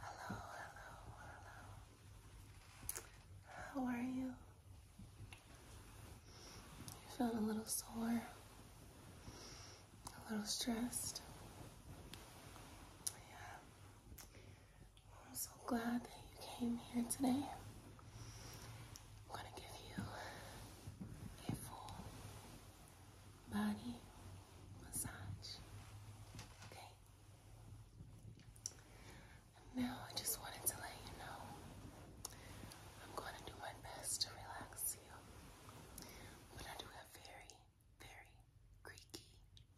Hello, hello, hello. How are you? You feel a little sore, a little stressed. Yeah. I'm so glad that you came here today. I'm going to give you a full body massage. Okay. now I just wanted to let you know I'm going to do my best to relax you, but I do have very, very creaky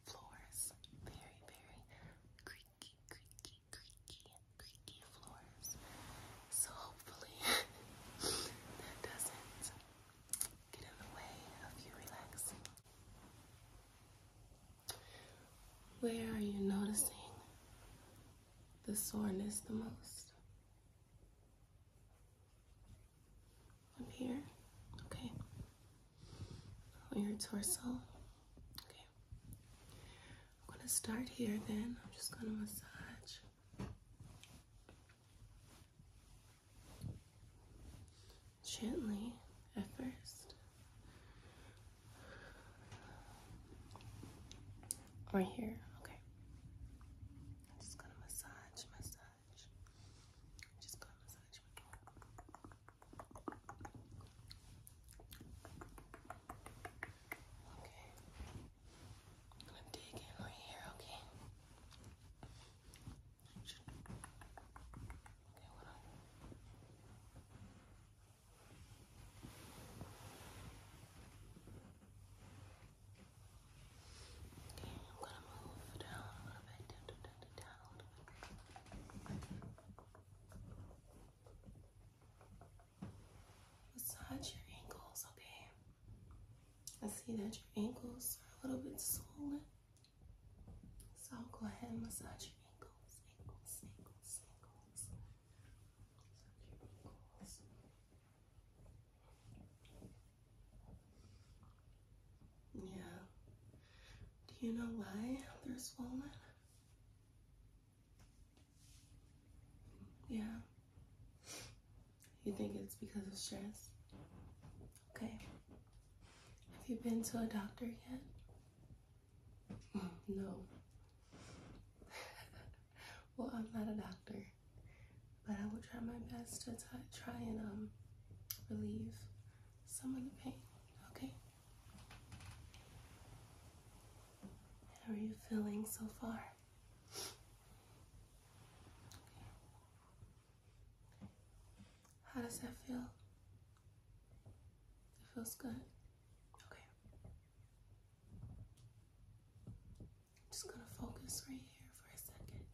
floors. Very, very creaky, creaky, creaky, creaky floors. So hopefully that doesn't where are you noticing the soreness the most? I'm here? Okay. On your torso? Okay. I'm going to start here then. I'm just going to massage gently at first. Right here, okay. just gonna massage, massage. just gonna massage. Okay. I'm gonna dig in right here, okay? Okay, I'm gonna move down a little bit, down, down, down, down a little bit. Massage your ankles, okay? I see that your ankles are a little bit swollen. So I'll go ahead and massage your ankles, ankles, ankles, ankles. Massage ankles. Yeah. Do you know why they're swollen? Yeah. You think it's because of stress? Okay. Have you been to a doctor yet? No. well, I'm not a doctor, but I will try my best to try and um relieve some of the pain. Okay. How are you feeling so far? How does that feel? It feels good. Okay. I'm just gonna focus right here for a second.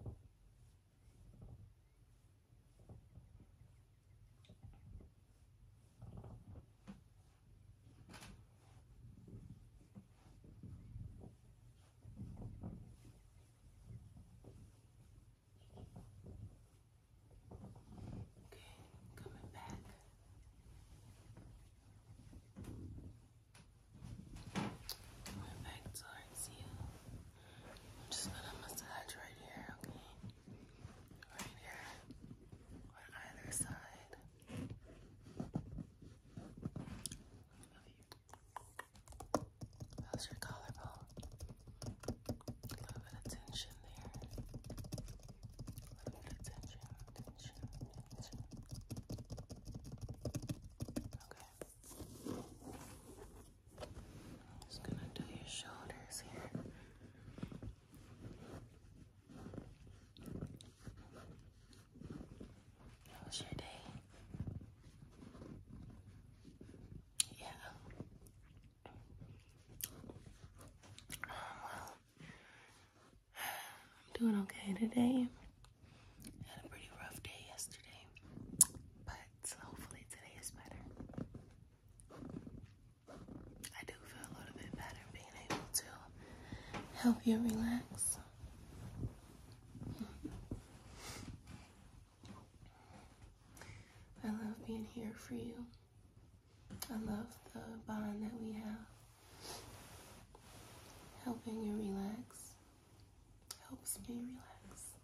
Okay. Okay, coming back. Coming back towards you. I'm just gonna massage right here, okay? Right here. Or either side. How's your collarbone? A little bit of tension there. little bit of tension, tension, tension. Okay. I'm just gonna do your shoulders here. How was your day? Yeah. Um, well, I'm doing okay today. Had a pretty rough day yesterday, but hopefully today is better. I do feel a little bit better being able to help you relax. I love being here for you. I love the bond that we have. Helping you relax helps me relax.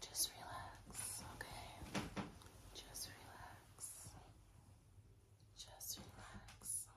Just relax, okay? Just relax. Just relax. Just relax.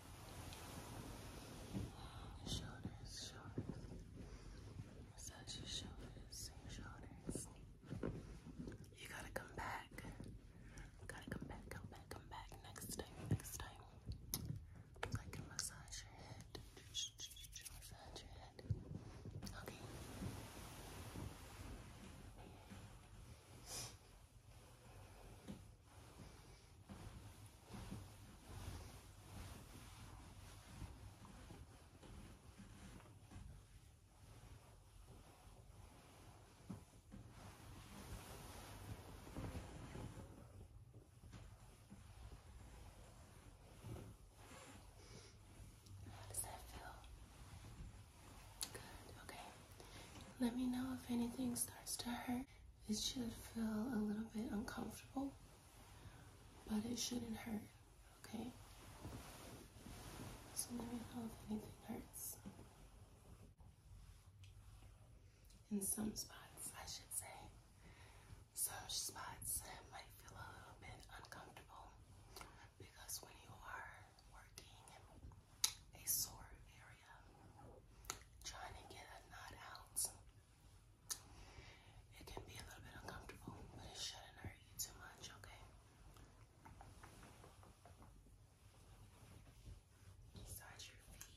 Shoulders, shoulders. Massage your shoulders, shoulders. You gotta come back. gotta come back, come back, come back next time, next time. I can massage your head. Massage your head. Okay. How does that feel? Good, okay. Let me know if anything starts to hurt. It should feel a little bit uncomfortable, but it shouldn't hurt, okay? So let me know if anything hurts. In some spots, I should say, some spots might feel a little bit uncomfortable because when you are working a sore area, trying to get a knot out. It can be a little bit uncomfortable, but it shouldn't hurt you too much, okay? Massage your feet.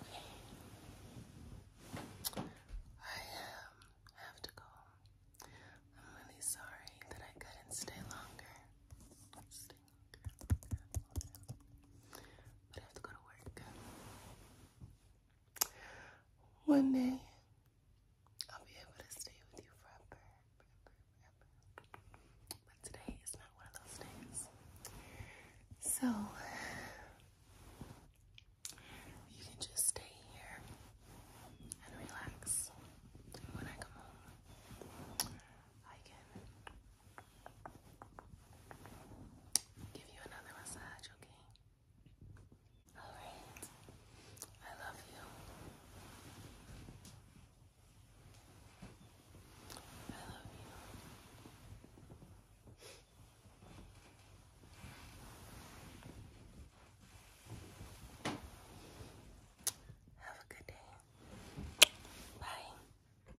Okay. I um, have to go. I'm really sorry that I couldn't stay longer. Stay longer. But I have to go to work. One day, I'll be able to stay with you forever, But today is not one of those days. So, you can just stay here and relax. When I come home, I can Give you another massage, okay? Alright. I love you. I love you. Have a good day. Bye.